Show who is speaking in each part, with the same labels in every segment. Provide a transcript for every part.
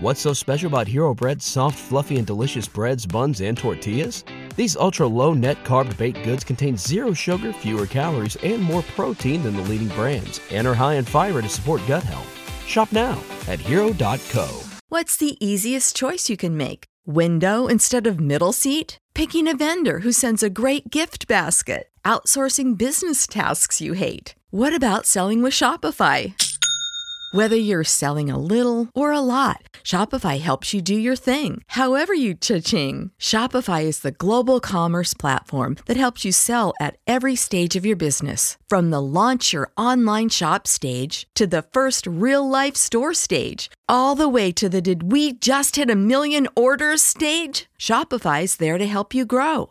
Speaker 1: What's so special about Hero Bread's soft, fluffy, and delicious breads, buns, and tortillas? These ultra low net carb baked goods contain zero sugar, fewer calories, and more protein than the leading brands, and are high in fiber to support gut health. Shop now at hero.co. What's the easiest choice you can make? Window instead of middle seat? Picking a vendor who sends a great gift basket? Outsourcing business tasks you hate? What about selling with Shopify? Whether you're selling a little or a lot, Shopify helps you do your thing, however you cha-ching. Shopify is the global commerce platform that helps you sell at every stage of your business. From the launch your online shop stage to the first real life store stage, all the way to the did we just hit a million orders stage? Shopify's there to help you grow.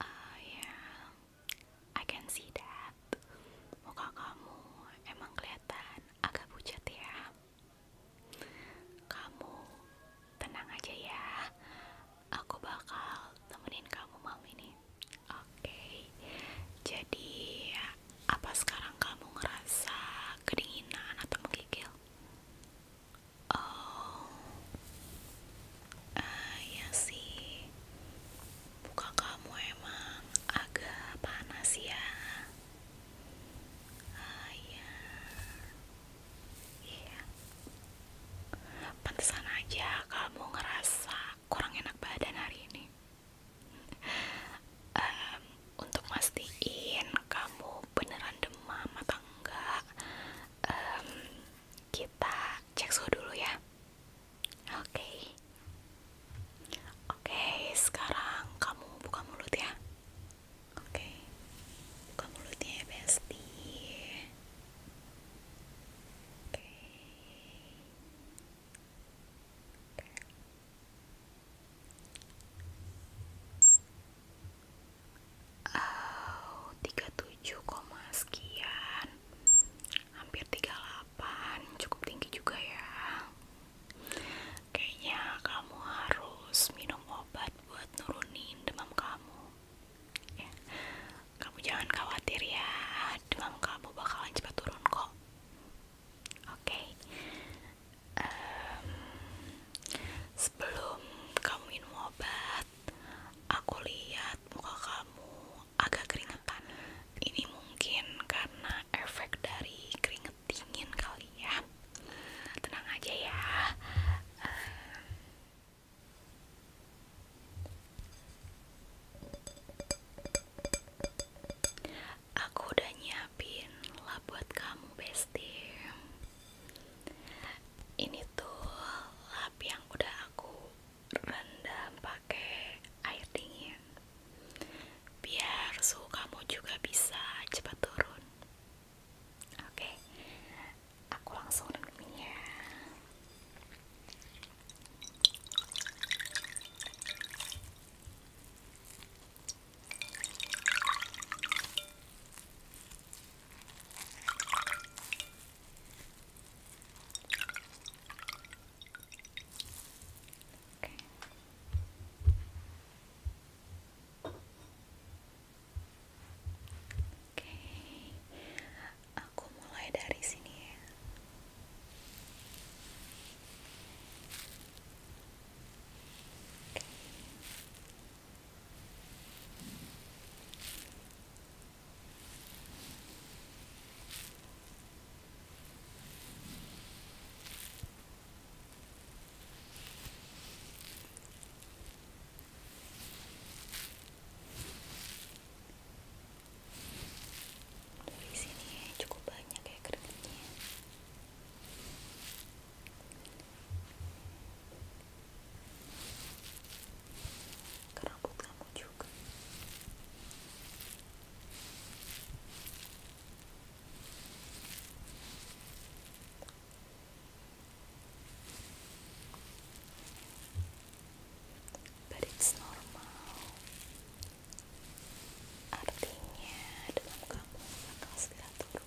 Speaker 2: Uh, ah, yeah, I can see that. Muka kamu emang kelihatan agak pucat ya. Kamu tenang aja ya. Aku bakal temenin kamu malam ini. Oke. Jadi apa sekarang kamu ngerasa kedinginan atau menggigil? Oh, ah iya sih, muka kamu emang agak panas ya. Ah iya. iya. Pantesan aja kamu ngerasa kurang enak badan hari ini. untuk mastiin kamu beneran demam apa enggak um, kita cek suhu dulu ya oke oke sekarang kamu buka mulut ya oke buka mulutnya ya besti Oke, tiga tujuh 37, sekian hampir tiga 38 cukup tinggi juga ya kayaknya kamu harus minum obat buat nurunin demam kamu ya. kamu jangan khawatir ya demam kamu bakalan cepat turun kok oke sebelum kamu minum obat aku lihat muka kamu agak keringetan ini mungkin karena efek dari keringet dingin kali ya tenang aja ya Aku udah nyiapin lap buat kamu, Bestie ini tuh lap yang udah aku rendam pakai air dingin biar suhu kamu juga bisa cepat turun oke aku langsung rendamin ya Okay. Oke, aku mulai dari sini ya. Di sini cukup banyak ya keringatnya ke rambut kamu juga but it's normal artinya dalam kamu akan segera turun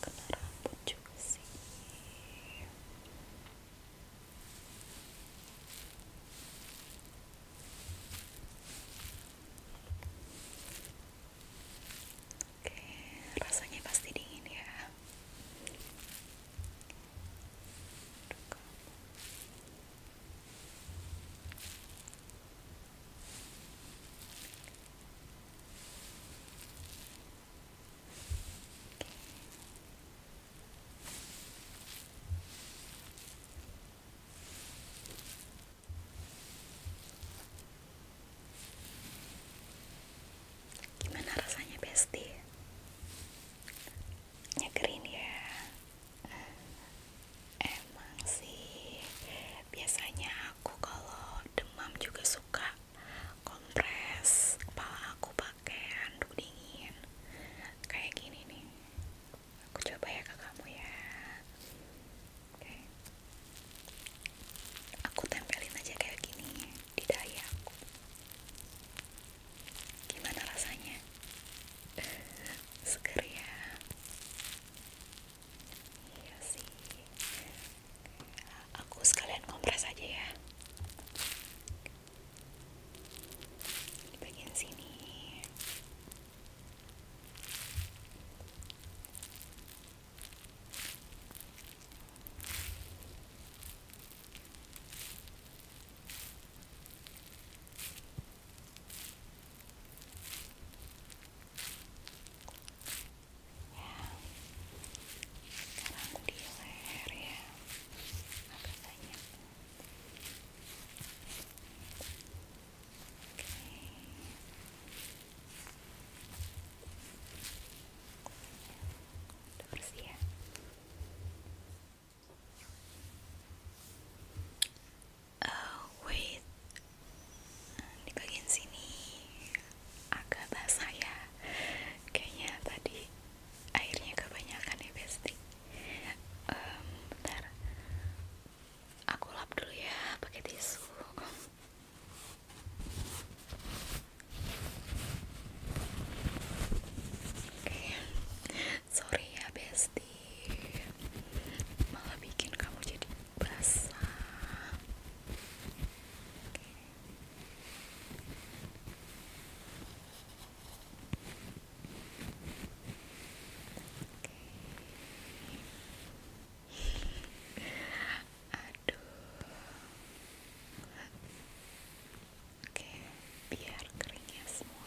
Speaker 2: kena juga sih Oke, rasanya pasti dingin ya. Gimana rasanya, Besti? Nyegerin ya. Emang sih, biasanya aku kalau demam juga suka kompres kepala aku pakai handuk dingin kayak gini nih aku coba ya ke kamu ya oke aku tempelin aja kayak gini di dahi gimana rasanya seger ya Iya sih. Aku sekalian kompres aja ya. Di bagian sini sekarang di leher ya agak banyak oke udah bersih ya uh, wait di bagian sini agak basah ya kayaknya tadi airnya kebanyakan ya besti um, bentar aku lap dulu ya pakai tisu Oke, sorry ya Besti, malah bikin kamu jadi berasa. Aduh. Oke, biar keringnya semua.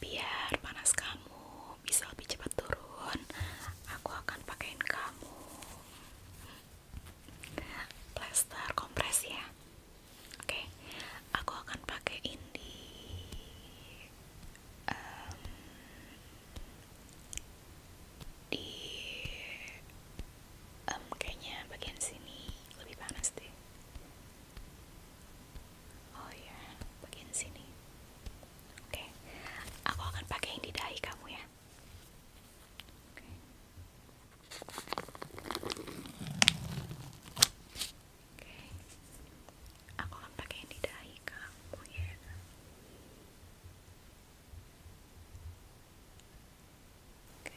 Speaker 2: biar panas kamu bisa lebih cepat turun aku akan pakaiin kamu plaster kompres ya oke aku akan pakaiin di um, di um, kayaknya bagian sini lebih panas deh oh ya bagian sini oke aku akan pakai yang di dahi kamu ya oke aku akan pakai yang di dahi kamu ya Oke,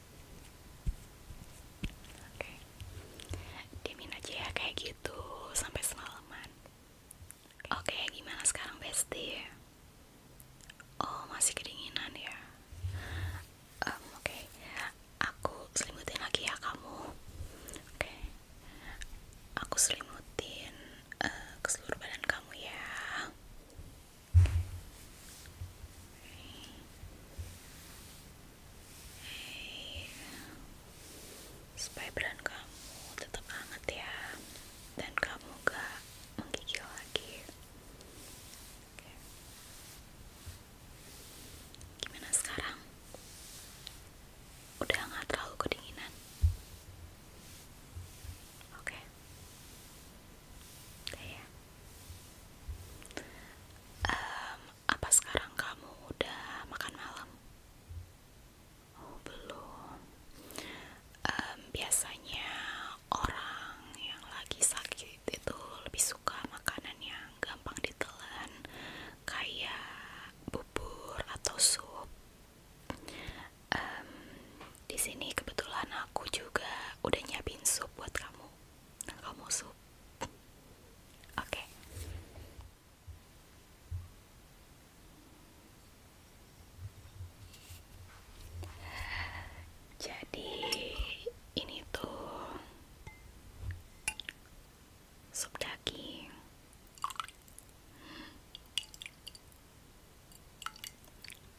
Speaker 2: Oke, okay. diamin aja ya kayak gitu sampai semalaman. Oke, gimana sekarang Bestie? Oh masih kedinginan ya? Um, Oke, aku selimutin lagi ya kamu. Oke, aku selimutin uh, eh, ke seluruh badan kamu ya supaya badan kamu tetap hangat ya dan kamu gak menggigil lagi okay. gimana sekarang? udah gak terlalu kedinginan? oke okay. udah ya? apa sekarang kamu udah makan malam? Oh, belum. biasanya orang yang lagi sakit itu lebih suka makanan yang gampang ditelan, kayak bubur atau sup di sini kebetulan aku juga udah nyiapin sup buat kamu. Kamu sup? Oke. Jadi ini tuh sup daging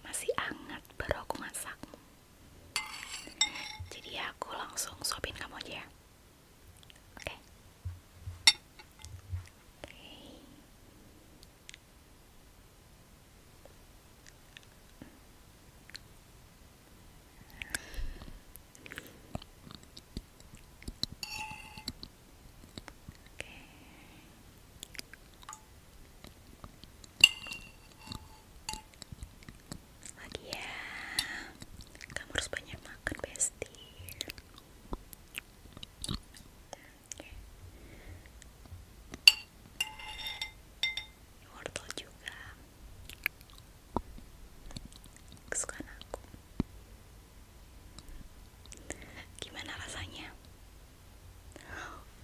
Speaker 2: masih hangat baru aku masak jadi aku langsung suapin kamu aja ya Oke lagi ya kamu harus banyak makan bestie wortel juga kesukaan aku gimana rasanya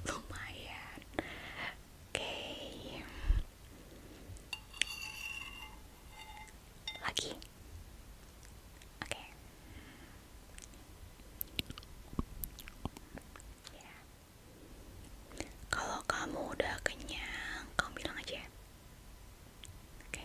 Speaker 2: lumayan oke okay. lagi oke okay. Ya. kalau kamu udah kenyang kamu bilang aja ya. oke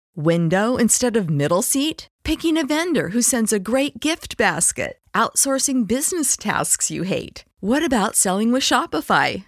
Speaker 1: window instead of middle seat, picking a vendor who sends a great gift basket, outsourcing business tasks you hate. What about selling with Shopify?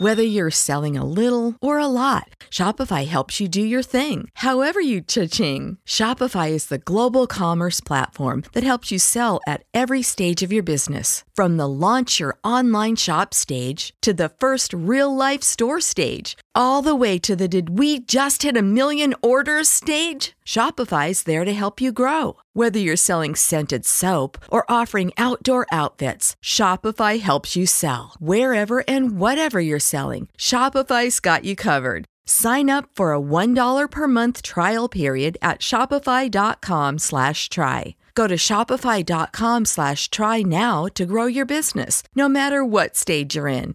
Speaker 1: Whether you're selling a little or a lot, Shopify helps you do your thing, however you cha-ching. Shopify is the global commerce platform that helps you sell at every stage of your business. From the launch your online shop stage to the first real life store stage all the way to the did we just hit a million orders stage? Shopify's there to help you grow. Whether you're selling scented soap or offering outdoor outfits, Shopify helps you sell. Wherever and whatever you're selling, Shopify's got you covered. Sign up for a $1 per month trial period at shopify.com slash try. Go to shopify.com slash try now to grow your business, no matter what stage you're in.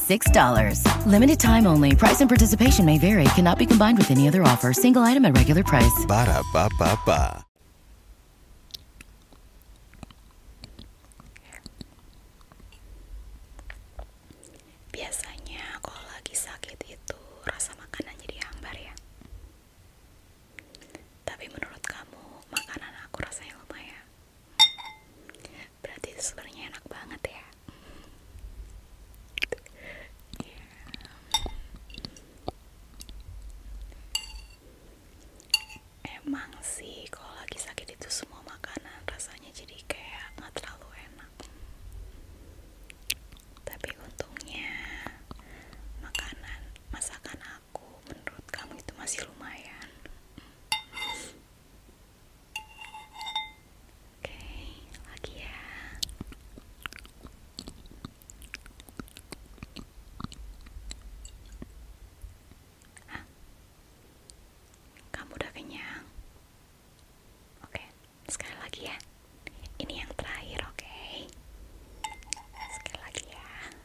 Speaker 2: $6. Limited time only. Price and participation may vary. Cannot be combined with any other offer. Single item at regular price.
Speaker 1: Ba da ba ba ba.
Speaker 2: Biasanya kalau lagi sakit itu rasa makanan jadi hambar ya. Tapi menurut kamu makanan aku rasanya lumayan. berarti sebenarnya enak banget ya iya. emang sih kalau lagi sakit itu semua makanan rasanya jadi kayak nggak terlalu enak tapi untungnya makanan masakan aku menurut kamu itu masih lumayan Oke, lagi ya. Kamu udah kenyang? Oke, sekali lagi ya. Ini yang terakhir, oke? Sekali lagi ya.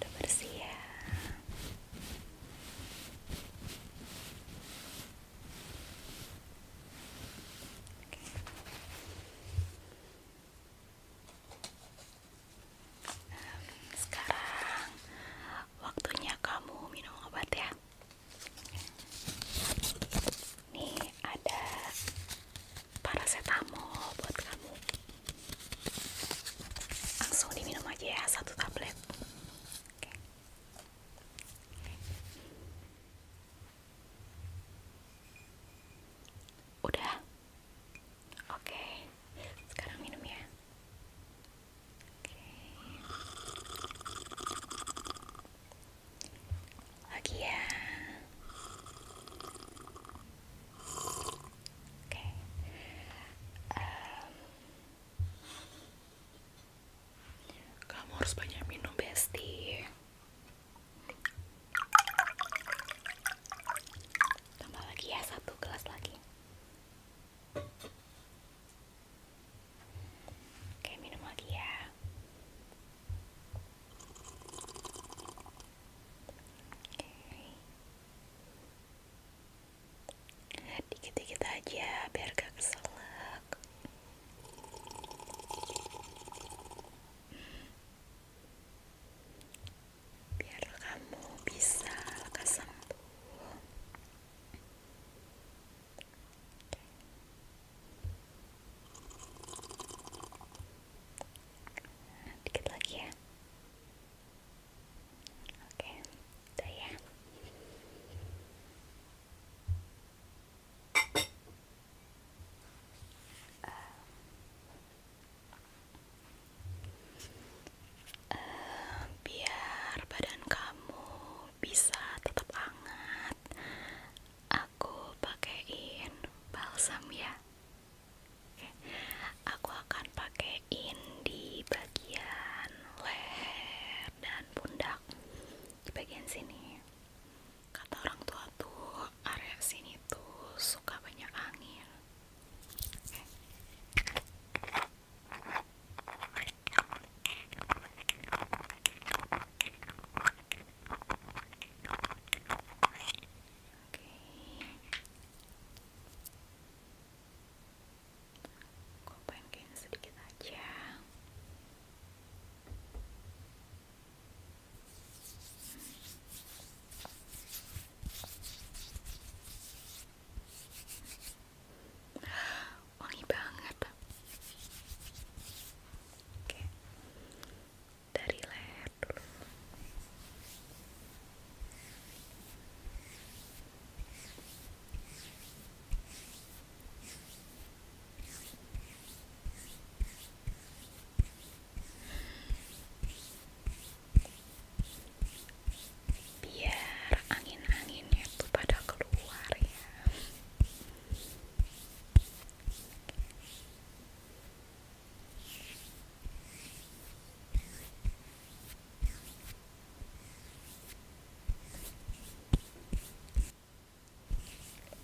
Speaker 2: udah bersih ya sekarang waktunya kamu minum obat ya nih ada paracetamol buat kamu langsung diminum aja ya satu tablet okay. Okay. oke sekarang minum ya okay. lagi ya kamu harus banyak minum, Besti. Tambah lagi ya satu gelas lagi. Oke, minum lagi ya. Dikit-dikit aja biar gak keselak. Biar kamu bisa lekas sembuh dikit lagi ya oke udah ya. Eh, eh, biar badan kamu bisa tetap hangat aku pakaiin balsam ya aku akan pakaiin di bagian leher dan pundak di bagian sini kata orang tua tuh area sini tuh suka banyak angin okay. kopain kain sedikit aja wangi banget oke dari leher biar angin-anginnya tuh pada keluar ya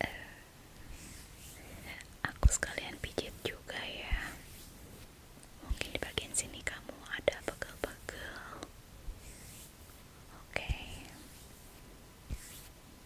Speaker 2: Eh, aku sekalian pijit juga ya. Mungkin di bagian sini kamu ada pegel-pegel. Oke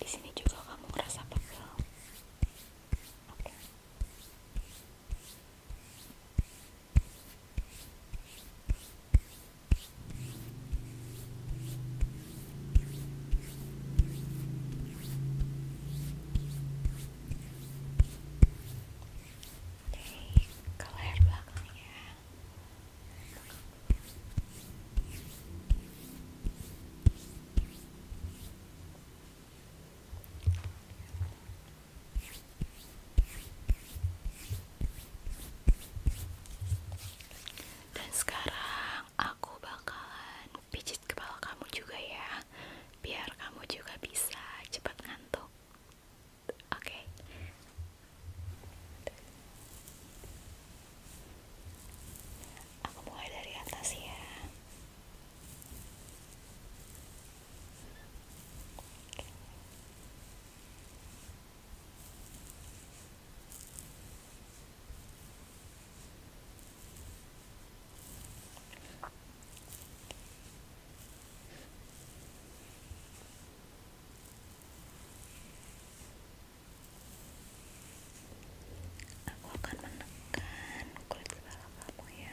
Speaker 2: Di sini juga kamu merasa pegel dari color dan sekarang aku bakalan aku pijit kepala kamu juga ya biar kamu juga bisa cepat ngantuk oke aku mulai dari atas ya Aku akan menekan kulit kepala kamu ya.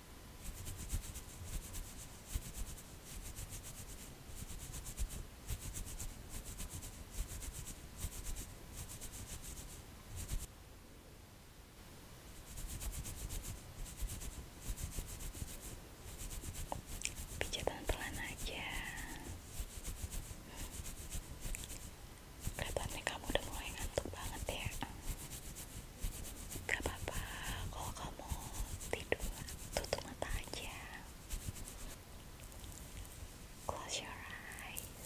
Speaker 2: pijatan pelan aja kelihatannya kamu udah mulai ngantuk banget ya gak apa-apa kalau kamu tidur tutup mata aja close your eyes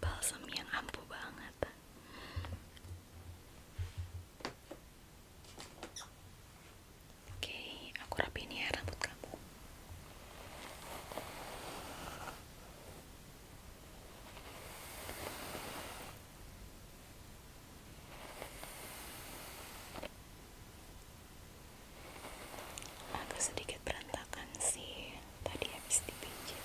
Speaker 2: balsam yang ampuh banget oke aku rapiin ya rambut kamu agak sedikit berantakan sih tadi habis dipijit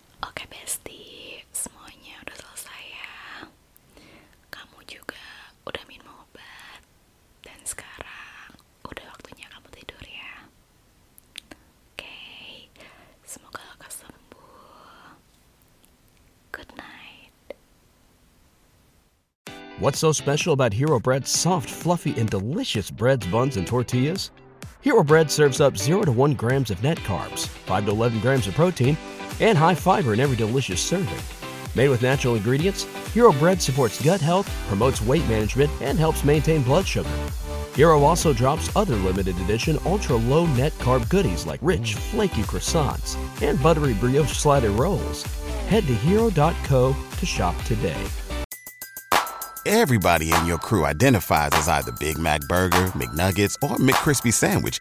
Speaker 2: Oke Besti, semuanya udah selesai ya. Kamu juga udah minum obat dan sekarang udah waktunya kamu tidur ya. Oke, okay. semoga kau sembuh.
Speaker 1: Good night. What's so special about Hero Bread? soft, fluffy, and delicious breads, buns, and tortillas? Hero Bread serves up 0 to 1 grams of net carbs 5 to 11 grams of protein, and high fiber in every delicious serving. Made with natural ingredients, Hero Bread supports gut health, promotes weight management, and helps maintain blood sugar. Hero also drops other limited edition ultra low net carb goodies like rich, flaky croissants and buttery brioche slider rolls. Head to hero.co to shop today. Everybody in your crew identifies as either Big Mac Burger, McNuggets, or McCrispy Sandwich